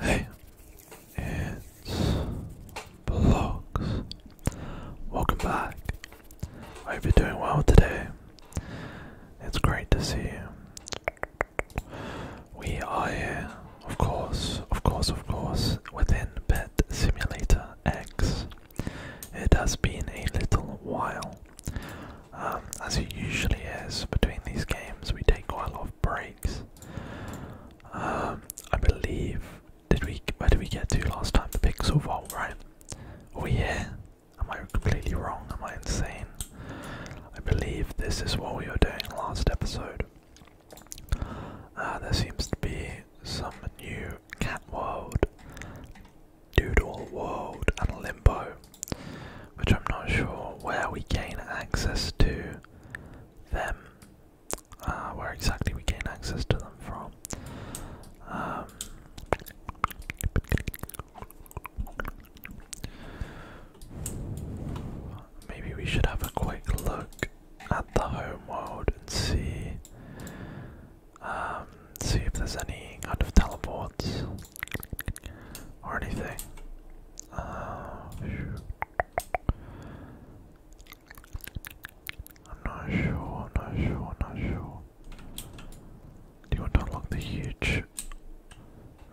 Hey, it's Blogs. Welcome back. I hope you're doing well today. It's great to see you. We are of course, of course, of course, within Pet Simulator X. It has been a little while um, as it usually is between these games, we take quite a lot of breaks. Um, I believe. Did we? Where did we get to last time? The Pixel Vault, right? Are we Am I completely wrong? Am I insane? I believe this is what we were doing last episode. Uh, there seems to be some new cat world Doodle World and Limbo, which I'm not sure where we gain access to them, uh, where exactly we gain access to them from. Um, maybe we should have a quick look at the home world and see um, see if there's any kind of teleports or anything. Uh, I'm not sure, not sure, not sure. Do you want to unlock the huge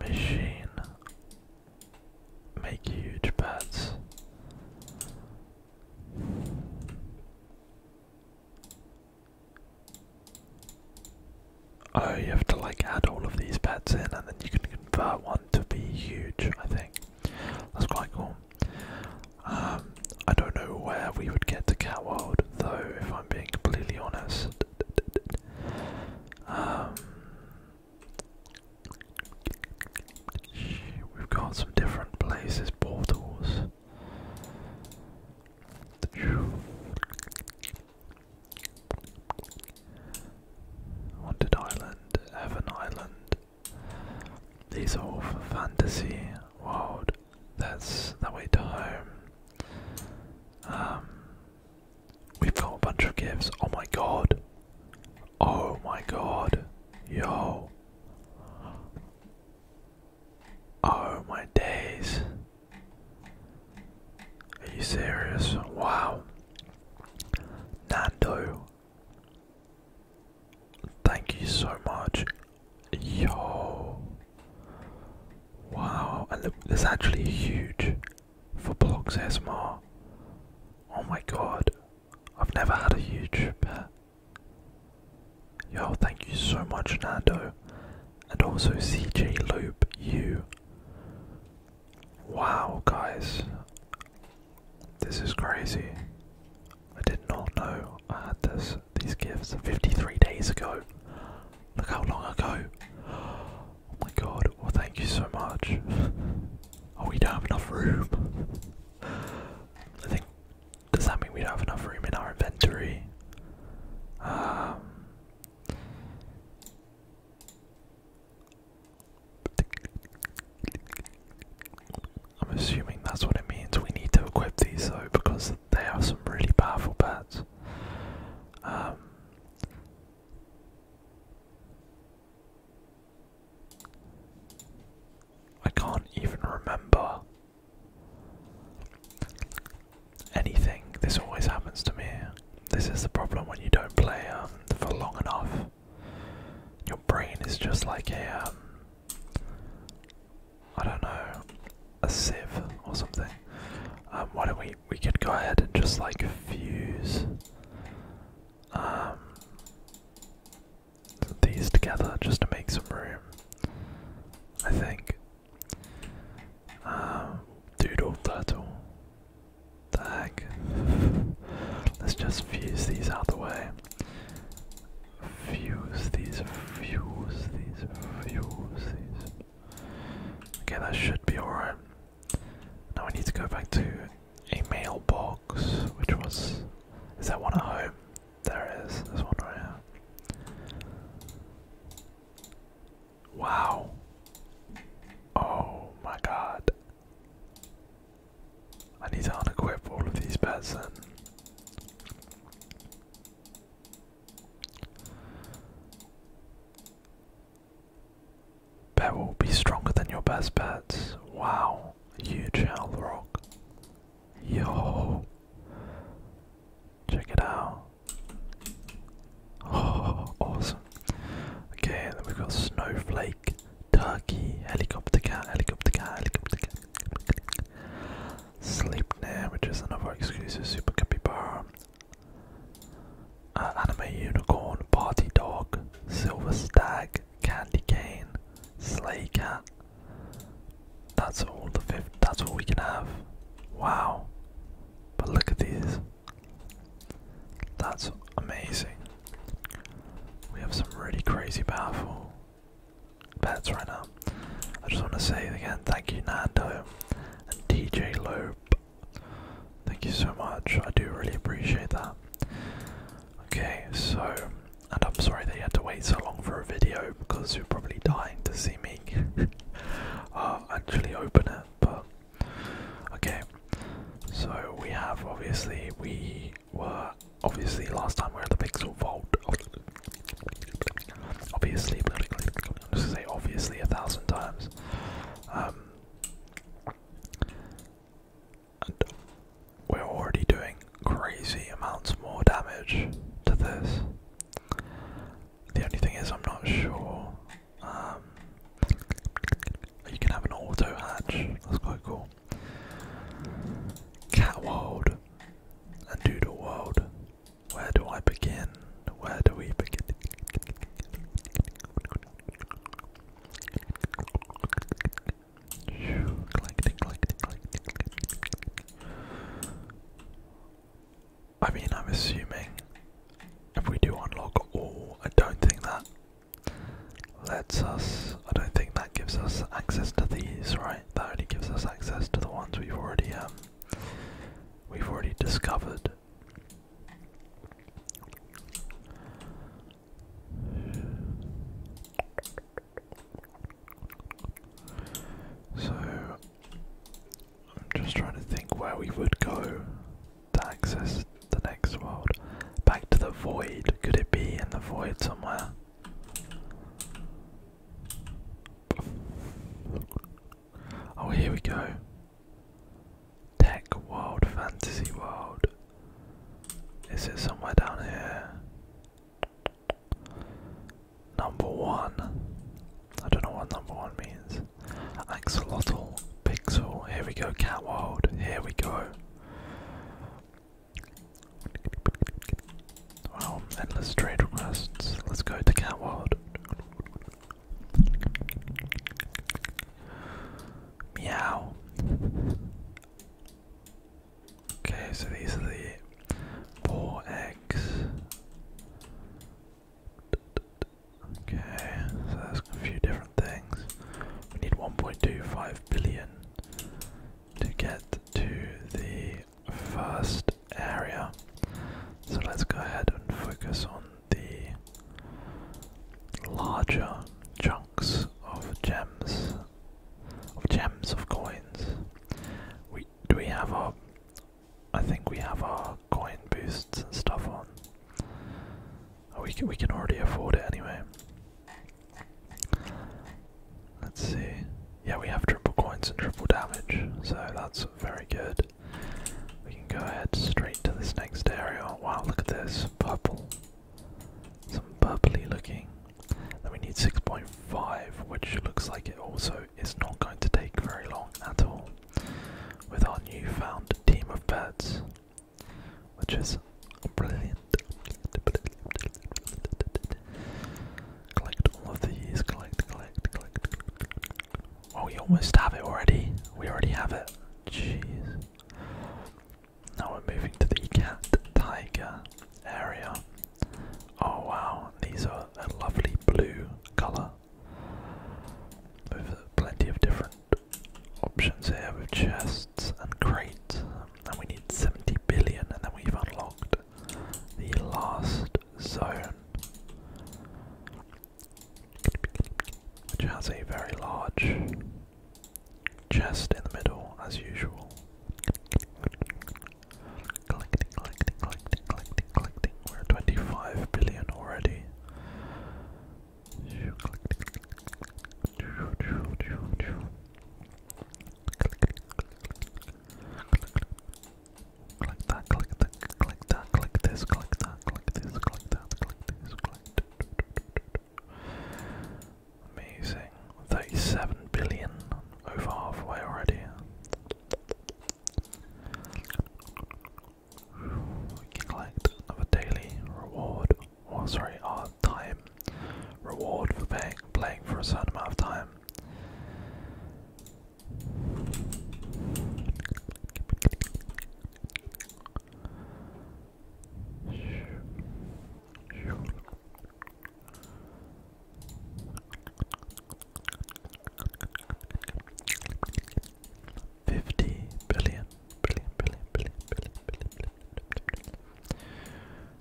machine? Make huge bets. Oh, you have to like add all of these pets in and then you can convert one to be huge, I think. That's quite cool. Um, I don't know where we would get to Cat World though, if I'm being completely honest. Um, we've got some different places, portals. Wanted Island, Heaven Island. These are all for fantasy world. That's the way to home. Um, we've got a bunch of gifts. Oh my god. Oh my god. Yo. Oh my days. Are you serious? Wow. Nando. Thank you so much. Yo. Wow. And look, there's actually a huge for blocks ASMR. Oh my god. I've never had a huge pet. Yo, thank you so much, Nando and also CJ loop. U. Wow, guys, this is crazy. I did not know I had this these gifts 53 days ago. Look how long ago. Oh my god, well, thank you so much. oh, we don't have enough room. I think. Does that mean we don't have enough room in our inventory? Um, I'm assuming that's what it means. We need to equip these though because they are some really powerful pets. Um, I can't even remember anything. This always happens to me. This is the problem when you don't play um, for long enough. Your brain is just like a, um, don't know, a sieve or something. Um, why don't we we could go ahead and just like fuse these together just to make some room. I think um, doodle turtle. The heck? Let's just fuse these out the way. Fuse these, fuse these, fuse these. Okay, that should be alright. Now we need to go back to a mailbox, which was. Is that one at home? There it is, there's one right here. Wow. Oh my god. I need to unequip all of these pets then. Bet will be stronger than your best bets. Wow. Huge hell rock. Yo. Check it out. Oh, awesome. Okay, then we've got snowflake, turkey, helicopter cat, helicopter cat, helicopter cat. Sleep now. which is another exclusive super capybara. bar. Uh, anime unicorn, party dog, silver stag, candy cane, sleigh cat. That's all the fifth. That's what we can have. Wow. But look at these. That's amazing. We have some really crazy powerful pets right now. I just want to say again thank you, Nando and DJ Lope. Thank you so much. I do really appreciate that. Okay, so, and I'm sorry that you had to wait so long for a video because you're probably dying to see actually open it, but okay. So we have obviously we were obviously last time we we're at the Pixel Vault. Obviously, I'm just say obviously a thousand times. Um, and we're already doing crazy amounts more damage to this. The only thing is, I'm not sure. Um, you can have an auto hatch. That's quite cool. Cat world and doodle world. Where do I begin? Where do we begin? I mean, I'm assuming if we do unlock all, I don't think that lets us. I don't think that gives us access to these, right? That only gives us access to the ones we've already um, we've already discovered. So I'm just trying to think where we would go to access the next world. Back to the void. Could it be in the void somewhere? Oh, here we go. Tech world, fantasy world. Is it somewhere down here? Number one. I don't know what number one means. Axolotl, Pixel, here we go, Cat world. here we go. Wow, endless trade requests. Let's go to Catworld. Meow. Okay, so these are the four eggs. Okay, so that's a few different things. We need 1.25 billion to get to the first area. So let's go ahead and focus on the larger chunks of gems, of gems of coins. We do we have our I think we have our coin boosts and stuff on. Oh, we can we can already afford it anyway. Let's see. Yeah, we have triple coins and triple damage, so that's very good. We can go ahead straight to this next area. Wow, look at this purple. Some purpley looking. Then we need 6.5, which looks like it also is not going to take very long at all with our newfound team of birds, which is brilliant. Collect all of these, collect, collect, collect. Oh, we almost have it already. We already have it. Jeez. Now we're moving to the cat tiger area. Oh wow, these are a lovely blue colour with plenty of different options here with chests and crates. And we need 70 billion, and then we've unlocked the last zone, which has a very large chest in the middle, as usual. We're 25 billion already. Click that, click that, click that, click this, click that, click this, click that, click this, click that. Amazing. 37 billion, over halfway already. We can collect daily reward. Or, sorry, our time reward for paying, playing for a certain amount of time. Fifty billion, billion, billion, billion, billion, billion, billion.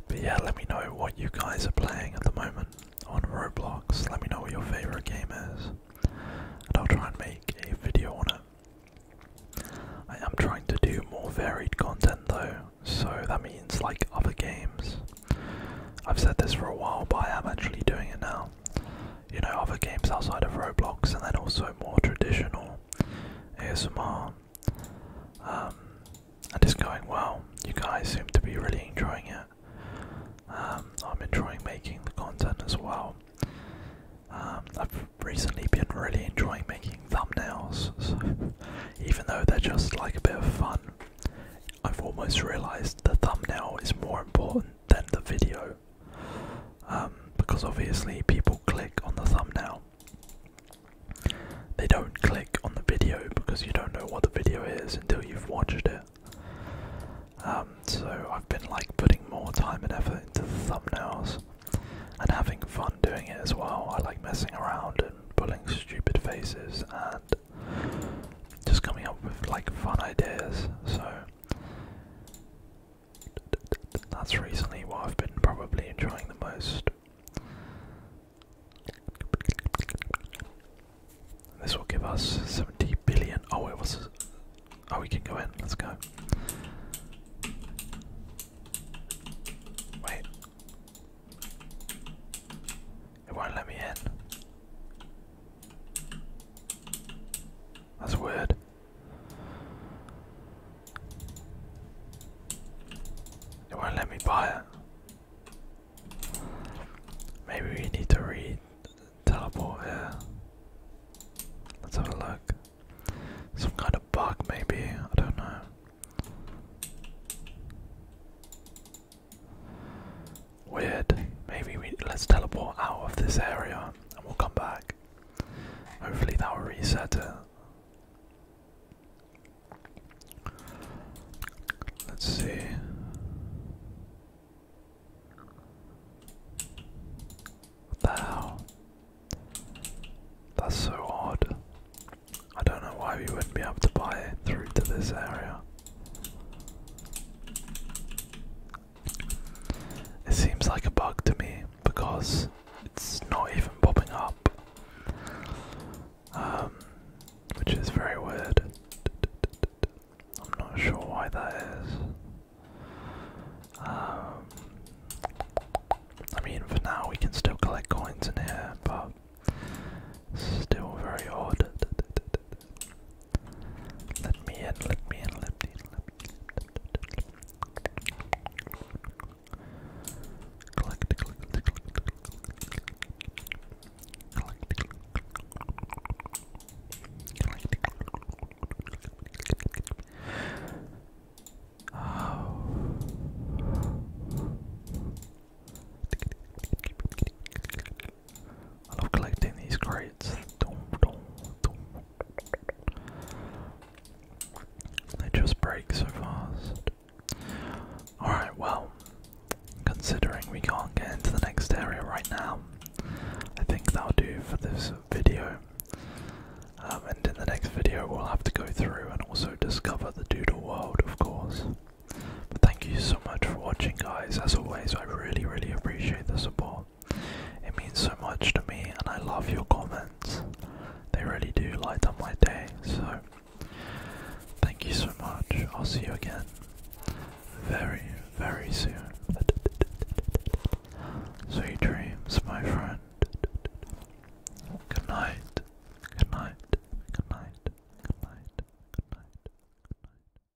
But yeah, let me know what you guys are playing at the moment on Roblox. Let me know what your favorite game is, and I'll try and make a video on it. I am trying to do more varied content though, so that means like other games. I've said this for a while, but I am actually doing it now you know, other games outside of Roblox, and then also more traditional ASMR. Um, and it's going well. You guys seem to be really enjoying it. Um, I'm enjoying making the content as well. Um, I've recently been really enjoying making thumbnails, even though they're just like a bit of fun, I've almost realized the thumbnail is more important than the video um, because obviously people click on the thumbnail. They don't click on the video because you don't know what the video is until you've watched it. Um, so I've been like putting more time and effort into the thumbnails and having fun doing it as well. I like messing around and pulling stupid faces and just coming up with like fun ideas. So that's recently what I've been probably enjoying the most. This will give us 70 billion. Oh, it was. Oh, we can go in. Let's go. Wait. It won't let me in. That's weird. It won't let me buy it. Maybe we need to read teleport here. Let's have a look. Some kind of bug, maybe. I don't know. Weird. Maybe we let's teleport out of this area and we'll come back. Hopefully that will reset Let's see. What the hell? That's so odd. I don't know why we wouldn't be able to buy it through to this area. It seems like a bug to me because it's not even popping up, um, which is very weird. I'm not sure why that is. Um, I mean, for now we can still collect coins in here, but still very odd. Let me in, let me in, let me in, let me in. Collect, collect, collect, collect. Collect, collect. Oh. I love collecting these crates. They just break so fast. Alright, well, considering we can't get into the next area right now, I think that'll do for this video. Um, and in the next video, we'll have to go through and also discover the Doodle World, of course. But Thank you so much for watching, guys. As always, I really, really appreciate the support. It means so much to me, and I love your comments. They really do light up my day. So, thank you so much. I'll see you again very, very soon. Sweet dreams, my friend. Good night. Good night. Good night. Good night. Good night. Good night.